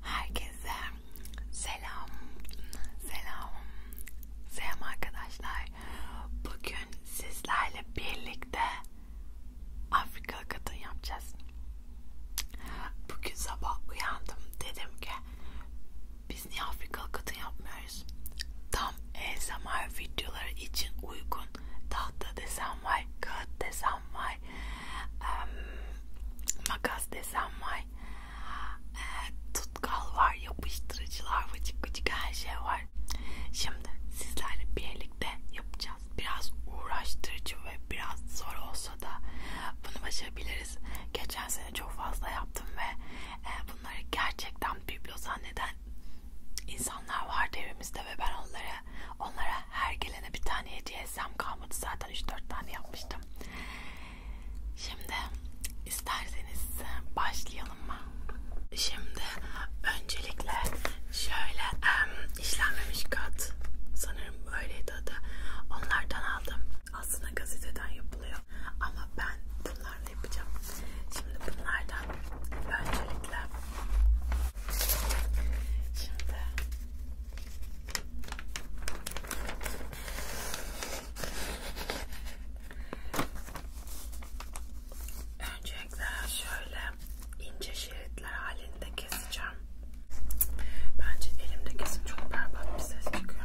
Herkese selam, selam, selam arkadaşlar. Bugün sizlerle birlikte Afrika kadın yapacağız. Bugün sabah uyandım dedim ki biz niye Afrikalı kadın yapmıyoruz? Tam ASMR videoları için uygun tahta desen var, kağıt desen var, um, makas desen var, e, tutkal var, yapıştırıcılar, vıcık vıcık her şey var. Şimdi sizlerle birlikte yapacağız. Biraz uğraştırıcı ve biraz zor olsa da bunu başarabiliriz. Geçen sene çok fazla yaptım ve ee, bunları gerçekten biblo zanneden insanlar vardı evimizde ve ben onlara onlara her gelene bir tane hediye etsem kalmadı zaten 3-4 tane yapmıştım. Şimdi isterseniz e, başlayalım mı? Şimdi öncelikle şöyle um, işlenmemiş kat sanırım böyleydi adı onlardan aldım. Aslında gazeteden yapılıyor bilmiyorum ama ben bunlarla yapacağım. Şimdi bunlardan öncelikle şimdi öncelikle şöyle ince şeritler halinde keseceğim. Bence elimde kesin çok berbat bir ses çıkıyor.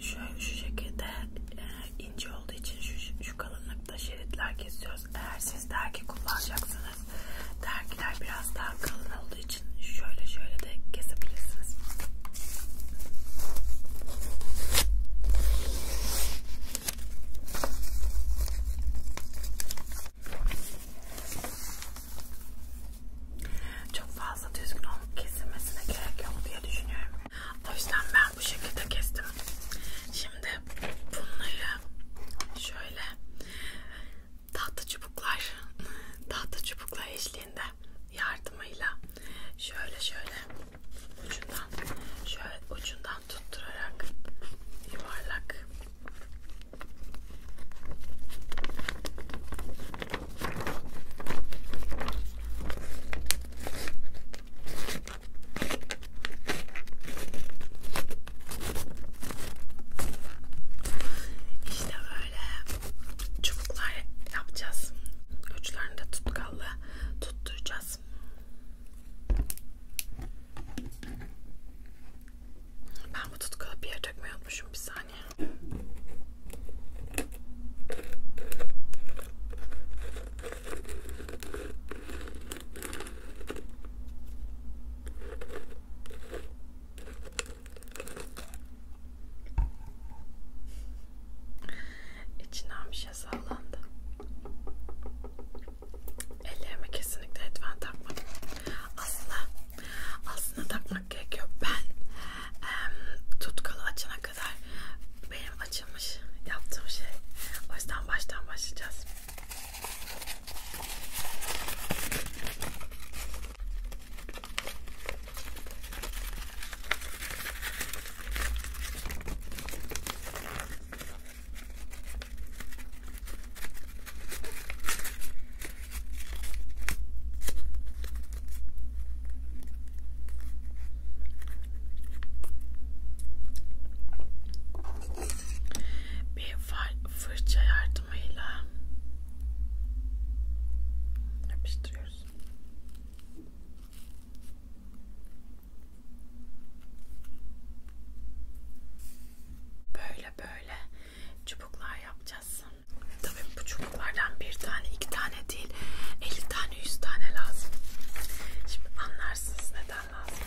şöyle şu şekilde e, ince olduğu için şu, şu kalınlıkta şeritler kesiyoruz. Eğer siz dergi kullanacaksınız, dergiler biraz daha kalın olduğu için şöyle şöyle de kesebilirsiniz. Çok fazla düzgün olup kesilmesine gerek yok diye düşünüyorum. O yüzden ben bu şekilde kestim. Şimdi bunları şöyle tahta çubuklar, tahta çubuklar eşliğinde yardımıyla şöyle şöyle ucundan şöyle ucundan tutturarak yuvarlak işte böyle çubuklar yapacağız. Uçlarını da tutkalla tutturacağız. Ben bu tutkalı bir yere dökmeyi unutmuşum bir saniye. İçinden bir şey sallandı. Ellerime kesinlikle etven takmadım. Aslında aslında takmak açmak gerekiyor. Ben e, tutkalı açana kadar benim açılmış yaptığım şey. O yüzden baştan başlayacağız. Bir fırça yardımıyla yapıştırıyoruz. Böyle böyle çubuklar yapacağız. Tabii bu çubuklardan bir tane, iki tane değil, 50 tane, 100 tane lazım. Şimdi anlarsınız neden lazım.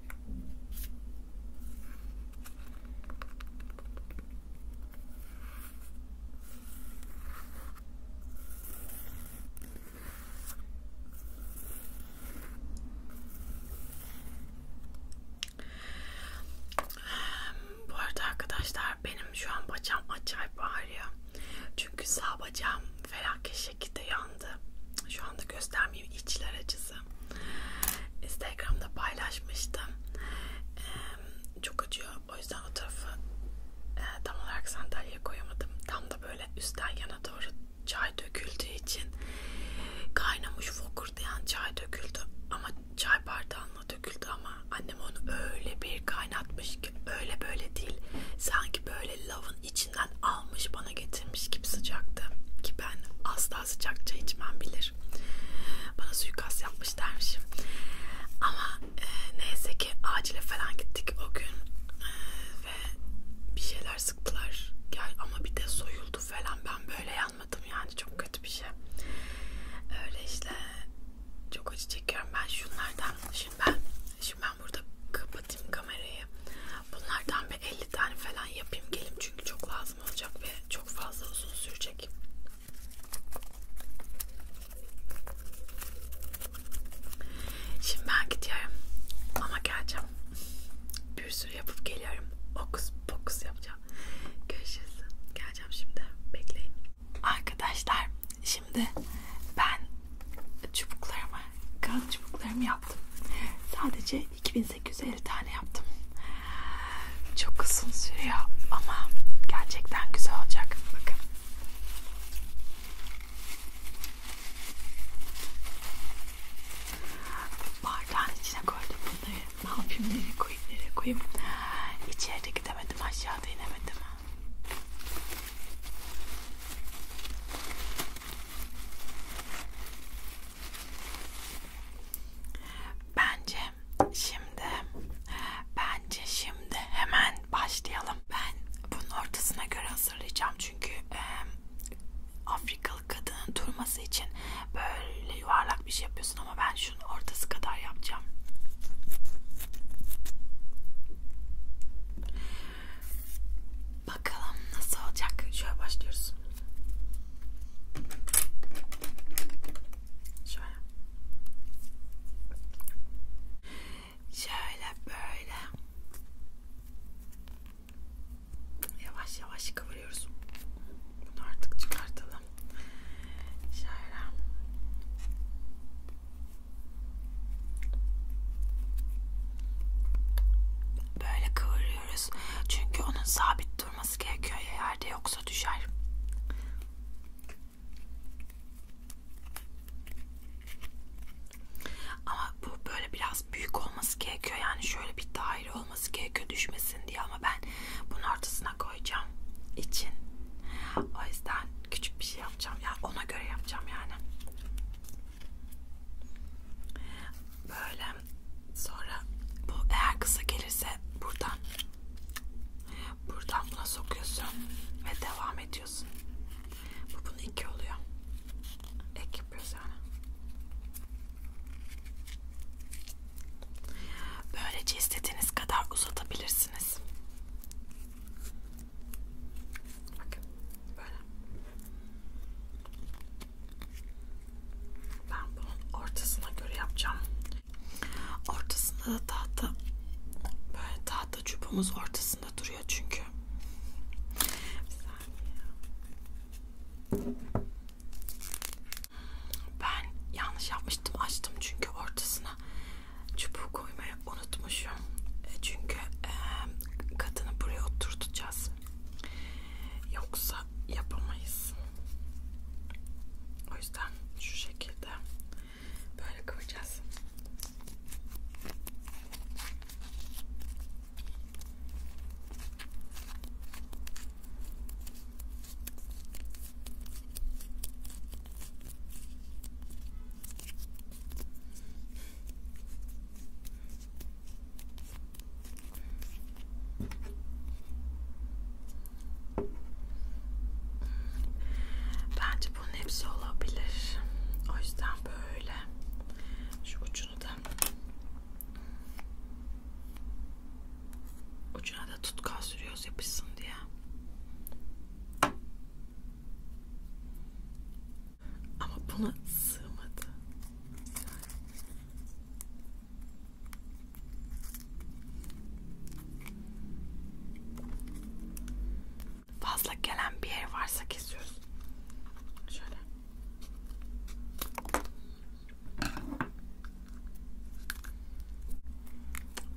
Bu arada arkadaşlar benim şu an bacağım acayip ağrıyor. Çünkü sağ bacağım felaket şekilde yandı. Şu anda göstermeyeyim içler acısı. Instagram'da paylaşmıştım. Ee, çok acıyor. O yüzden o tarafı e, tam olarak sandalyeye koyamadım. Tam da böyle üstten yana doğru çay döküldüğü için kaynamış fokurdayan çay döküldü. Ama çay bardağına döküldü ama annem onu öyle bir kaynatmış ki öyle böyle değil. Sanki böyle lavın içinden almış bana getirmiş gibi sıcaktı ki ben asla sıcak çay içmem bilir. Bana suikast yapmış dermişim. Ama e, neyse ki acile falan gittik o gün e, ve bir şeyler sıktılar. Gel ama bir de soyuldu falan. Ben böyle yanmadım yani çok kötü bir şey. Öyle işte çok acı çekiyorum ben şunlardan. Şimdi ben şimdi ben burada kapatayım kamerayı. Bunlardan bir 50 tane falan yapayım gelim çünkü çok lazım lazım olacak ve çok fazla uzun sürecek. Şimdi ben gidiyorum ama geleceğim. Bir sürü yapıp geliyorum. Okus pokus yapacağım. Görüşürüz. Geleceğim şimdi. Bekleyin. Arkadaşlar şimdi ben çubuklarımı, kağıt çubuklarımı yaptım. Sadece 2850 tane yaptım. Çok uzun sürüyor ama gerçekten güzel olacak. Bakın. Bardağın içine koydum bunları. Ne yapayım, nereye koyayım, nereye koyayım. İçeride gidemedim, aşağıda inemedim. Bence şimdi bence şimdi hemen başlayalım. Ben bunun ortasına göre hazırlayacağım çünkü e, Afrikalı kadının durması için böyle yuvarlak bir şey yapıyorsun ama ben şunun ortası kadar yapacağım. Bakalım nasıl olacak. Şöyle başlıyoruz. Şöyle. Şöyle böyle. Yavaş yavaş kıvırıyoruz. Bunu artık çıkartalım. Şöyle. Böyle kıvır görüyoruz. Çünkü onun sabit durması gerekiyor ya yerde yoksa düşer. Ama bu böyle biraz büyük olması gerekiyor. Yani şöyle bir daire olması gerekiyor düşmesin diye ama ben bunun ortasına koyacağım için. O yüzden küçük bir şey yapacağım. Yani ona göre yapacağım yani. Böyle sonra bu eğer kısa gelirse buradan buradan buna sokuyorsun ve devam ediyorsun. Bu bunun iki oluyor. Ek yapıyoruz yani. Böylece istediğiniz kadar uzatabilirsiniz. Bakın böyle. Ben bunun ortasına göre yapacağım. Ortasında da tahta böyle tahta çubumuz ortasında duruyor çünkü. Ben yanlış yapmıştım açtım çünkü ortasına çubuğu koymayı unutmuşum. E, çünkü e, kadını buraya oturtacağız. Yoksa yapamayız. O yüzden şu şekilde böyle koyacağız. Bence bunun hepsi olabilir. O yüzden böyle şu ucunu da ucuna da tutkal sürüyoruz yapışsın diye. Ama buna sığmadı. Fazla gelen bir yer varsa kesiyoruz. Şöyle.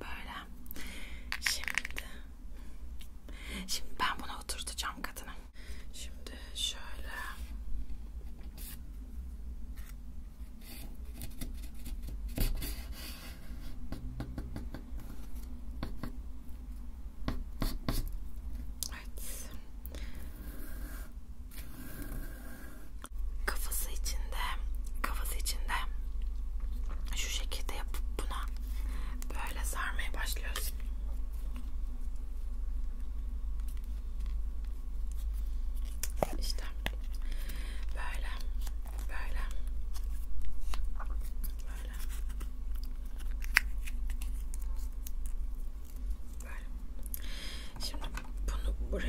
Böyle. Şimdi. Şimdi ben bunu oturtacağım kadına. Şimdi şöyle Evet. Kafası içinde, kafası içinde şu şekilde yapıp buna böyle sarmaya başlıyoruz. İşte böyle, böyle, böyle, böyle. Şimdi bunu buraya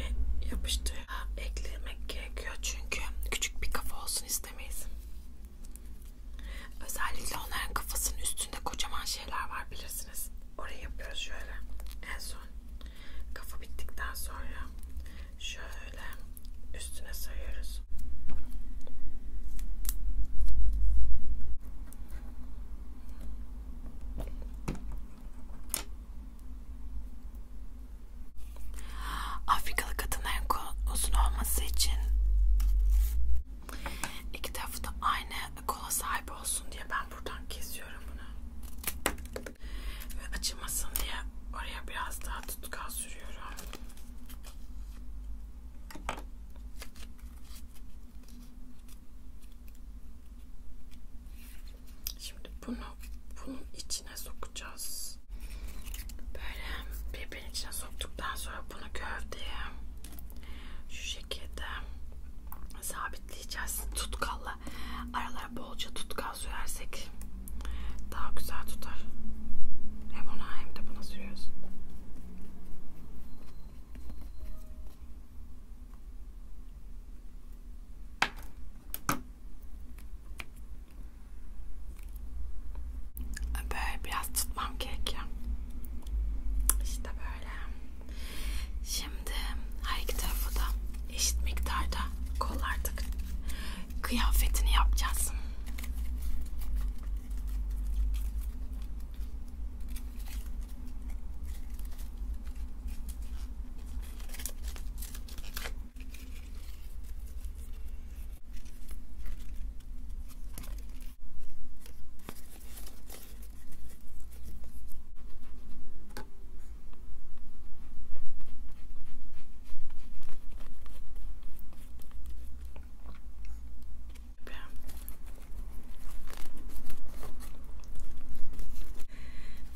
yapıştır, eklemek gerekiyor çünkü küçük bir kafa olsun istemeyiz. Özellikle onların kafasının üstünde kocaman şeyler var bilirsin misiniz? Orayı yapıyoruz şöyle. En son kafa bittikten sonra şöyle üstüne sarıyoruz. Afrikalı kadınların uzun olması için İki tarafı da aynı kola sahip olsun diye ben buradan kesiyorum bunu. Ve açılmasın diye oraya biraz daha tutkal sürüyorum. Şimdi bunu bunun içine sokacağız. Böyle birbirin içine soktuktan sonra bunu gövdeye şu şekilde sabitleyeceğiz tutkalla. Aralara bolca tutkal sürersek daha güzel tutar. Hem ona hem de buna sürüyoruz. Böyle biraz tutmam gerekiyor. İşte böyle. Şimdi her iki tarafı da eşit miktarda kollardık. Kıyafetini yapacağız.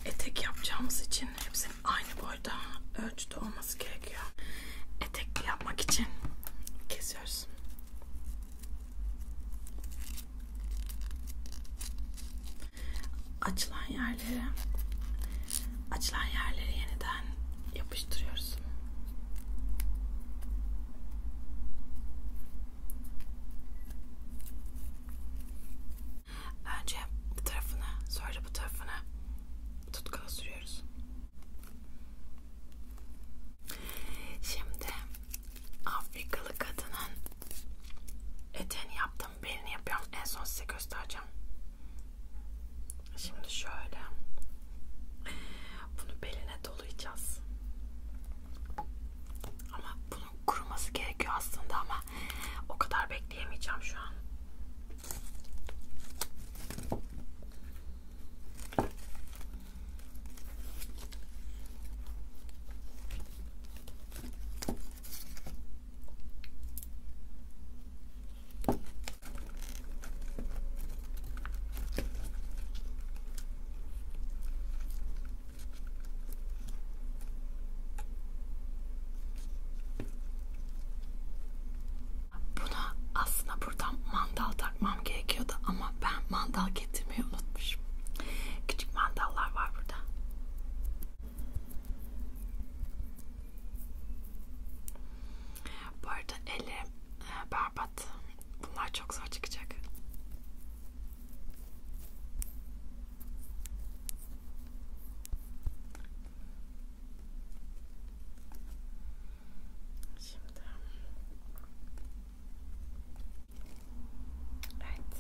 Etek yapacağımız için hepsinin aynı boyda ölçüde olması gerekiyor. Etek yapmak için kesiyoruz. Açılan yerlere açılan yerleri yeniden yapıştırıyoruz. Önce bu tarafını, sonra bu tarafını tutkala sürüyoruz. Şimdi Afrikalı kadının eteğini yaptım, belini yapıyorum. En son size göstereceğim. Şimdi şöyle. Bunu beline dolayacağız. Ama bunun kuruması gerekiyor aslında ama o kadar bekleyemeyeceğim şu an. Buna aslında buradan mandal takmam gerekiyordu ama ben mandal getirmeyi unutmuşum. Küçük mandallar var burada. Bu arada elim e, berbat. Bunlar çok zor çıkacak. Şimdi Evet.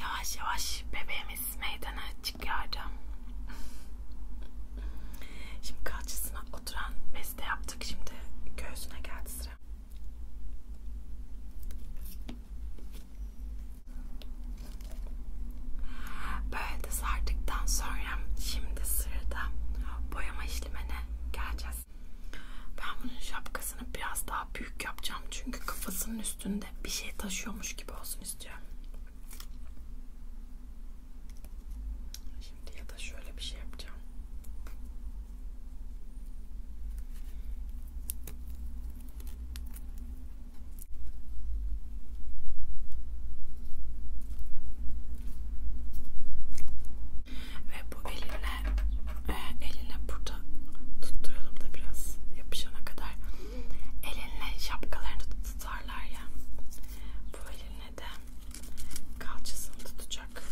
Yavaş yavaş bebeğimiz meydana çıkıyordu. Şimdi kalçasına oturan beste yaptık. Şimdi göğsüne geldi sıra. Böyle de sardıktan sonra şimdi sırada boyama işlemine geleceğiz. Ben bunun şapkasını biraz daha büyük yapacağım çünkü kafasının üstünde bir şey taşıyormuş gibi olsun istiyorum. Şimdi ya da şöyle bir şey yapacağım. Ve bu elinle e, elinle burada tutturalım da biraz yapışana kadar elinle şapkalarını tutarlar ya. Bu elinle de kalçasını tutacak.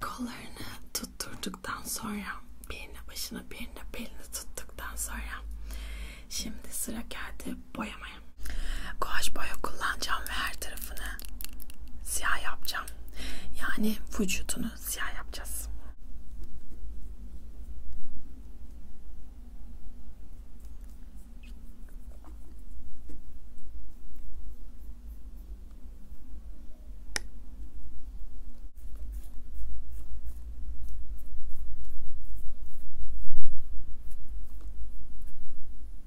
Kollarını tutturduktan sonra birine başına birine belini tuttuktan sonra şimdi sıra geldi boyamaya. Guaj boya kullanacağım ve her tarafını siyah yapacağım. Yani vücudunu siyah yapacağız.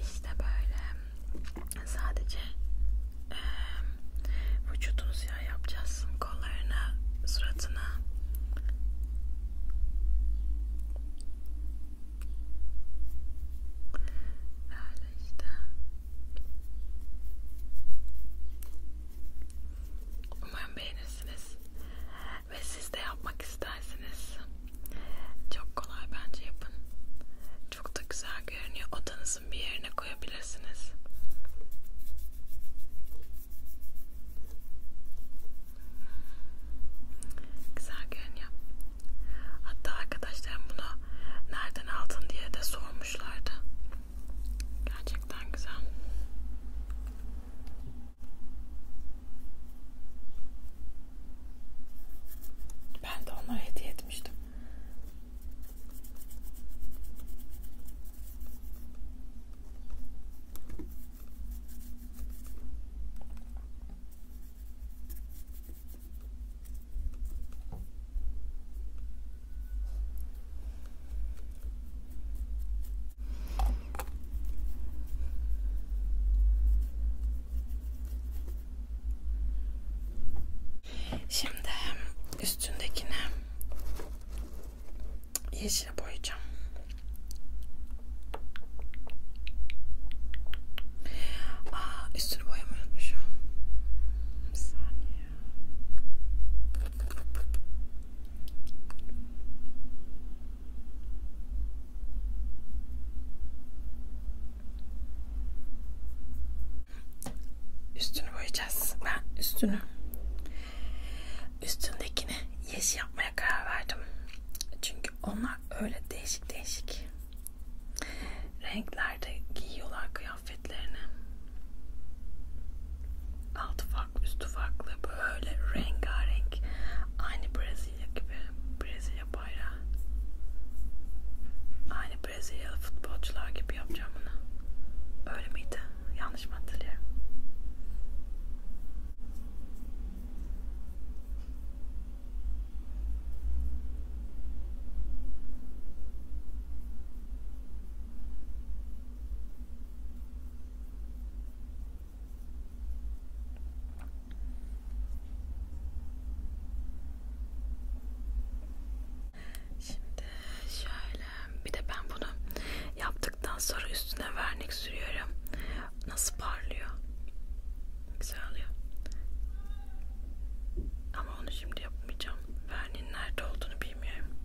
İşte böyle sadece e, vücudunu siyah yapacağız. Kollarına, suratına. Böyle işte. Umarım beğenirsiniz ve siz de yapmak istersiniz. Çok kolay bence yapın. Çok da güzel görünüyor. Odanızın bir yerine koyabilirsiniz. Güzel görünüyor. Hatta arkadaşlarım bunu nereden aldın diye de sormuşlardı. Gerçekten güzel. Ben de onlara hediye etmiştim. Şimdi üstündekini yeşil boyayacağım. Aa, üstünü boyamayı unutmuşum. Bir saniye. Üstünü boyayacağız. Ben üstünü üstündekini yeşil yapmaya karar verdim. Çünkü onlar öyle değişik değişik renklerde giyiyorlar kıyafetlerini. Altı farklı farklı, üstü farklı böyle rengarenk. Aynı Brezilya gibi. Brezilya bayrağı. Aynı Brezilyalı futbolcular gibi yapacağım bunu. Öyle miydi? Yanlış mı hatırlıyorum? Şimdi şöyle bir de ben bunu yaptıktan sonra üstüne vernik sürüyorum. Nasıl parlıyor? Güzel oluyor. Ama onu şimdi yapmayacağım. Verniğin nerede olduğunu bilmiyorum.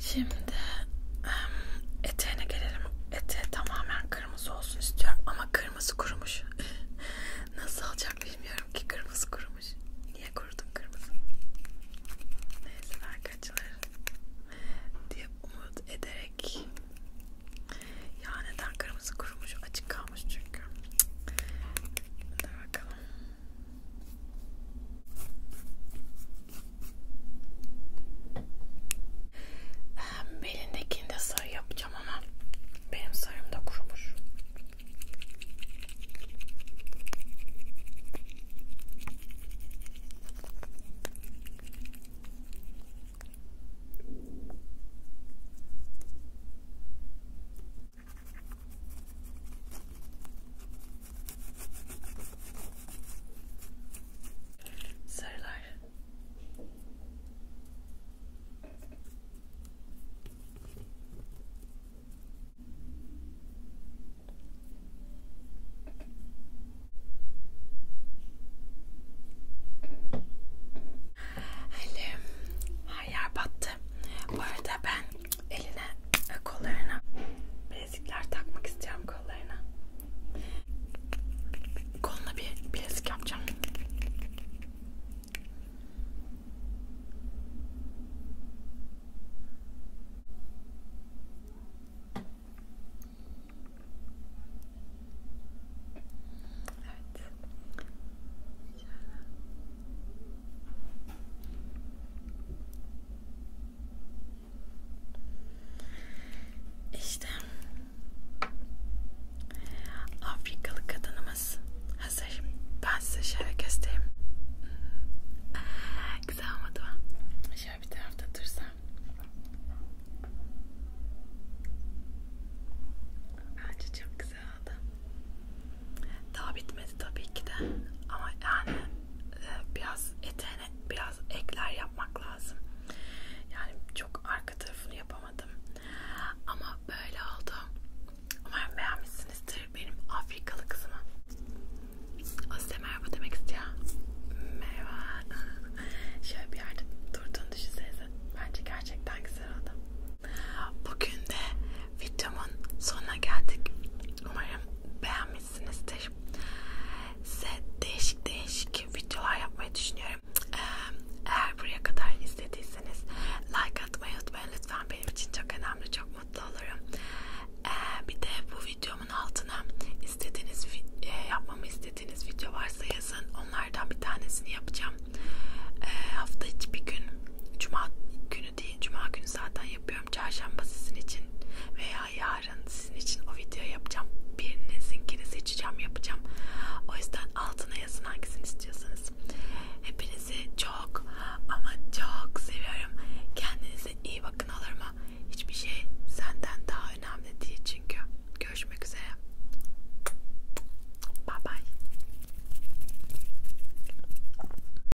Şimdi eteğine gelelim. Ete tamamen kırmızı olsun istiyorum ama kırmızı kurumuş. Nasıl olacak bilmiyorum ki kırmızı kurumuş. Niye kurudun kırmızı? Neyse arkadaşlar diye umut ederek ya neden kırmızı kurumuş açık kalmış çünkü. Hadi bakalım. Belindekini de sarı yapacağım ama benim sarım da kurumuş. Sarılar. Elim her yer battı. Bu arada ben eline kollarına bir bilezikler takmak istiyorum kollarına. Koluna bir bilezik yapacağım. Evet. Şöyle. İşte Afrikalı kadınımız hazır. Ben size şöyle göstereyim. Hmm. Güzel olmadı mı? Şöyle bir tarafta dursam. Bence çok güzel oldu. Daha bitmedi tabii ki de. Ama yani biraz eteğine biraz ekler yapmak lazım. Yani çok arka tarafını yapamadım. Ama böyle oldu. Umarım beğenmişsinizdir benim Afrikalı kızımı. O size merhaba demek istiyor. Merhaba. Şöyle bir yerde durduğunu düşünsenize. Bence gerçekten güzel oldu. Bugün de videomun sonuna geldik. Umarım beğenmişsinizdir. Size değişik değişik videolar yapmayı düşünüyorum. Eğer buraya kadar izlediyseniz like atmayı unutmayın lütfen benim için çok önemli çok mutlu olurum. Ee, bir de bu videomun altına istediğiniz e, yapmamı istediğiniz video varsa yazın onlardan bir tanesini yapacağım. Ee, hafta içi bir gün cuma günü günü değil cuma günü zaten yapıyorum çarşamba sizin için veya yarın sizin için o video yapacağım birinizinkini seçeceğim yapacağım o yüzden altına yazın hangisini istiyorsanız hepinizi çok ama çok seviyorum kendinize iyi bakın olur mu hiçbir şey senden daha önemli değil çünkü görüşmek üzere bye bye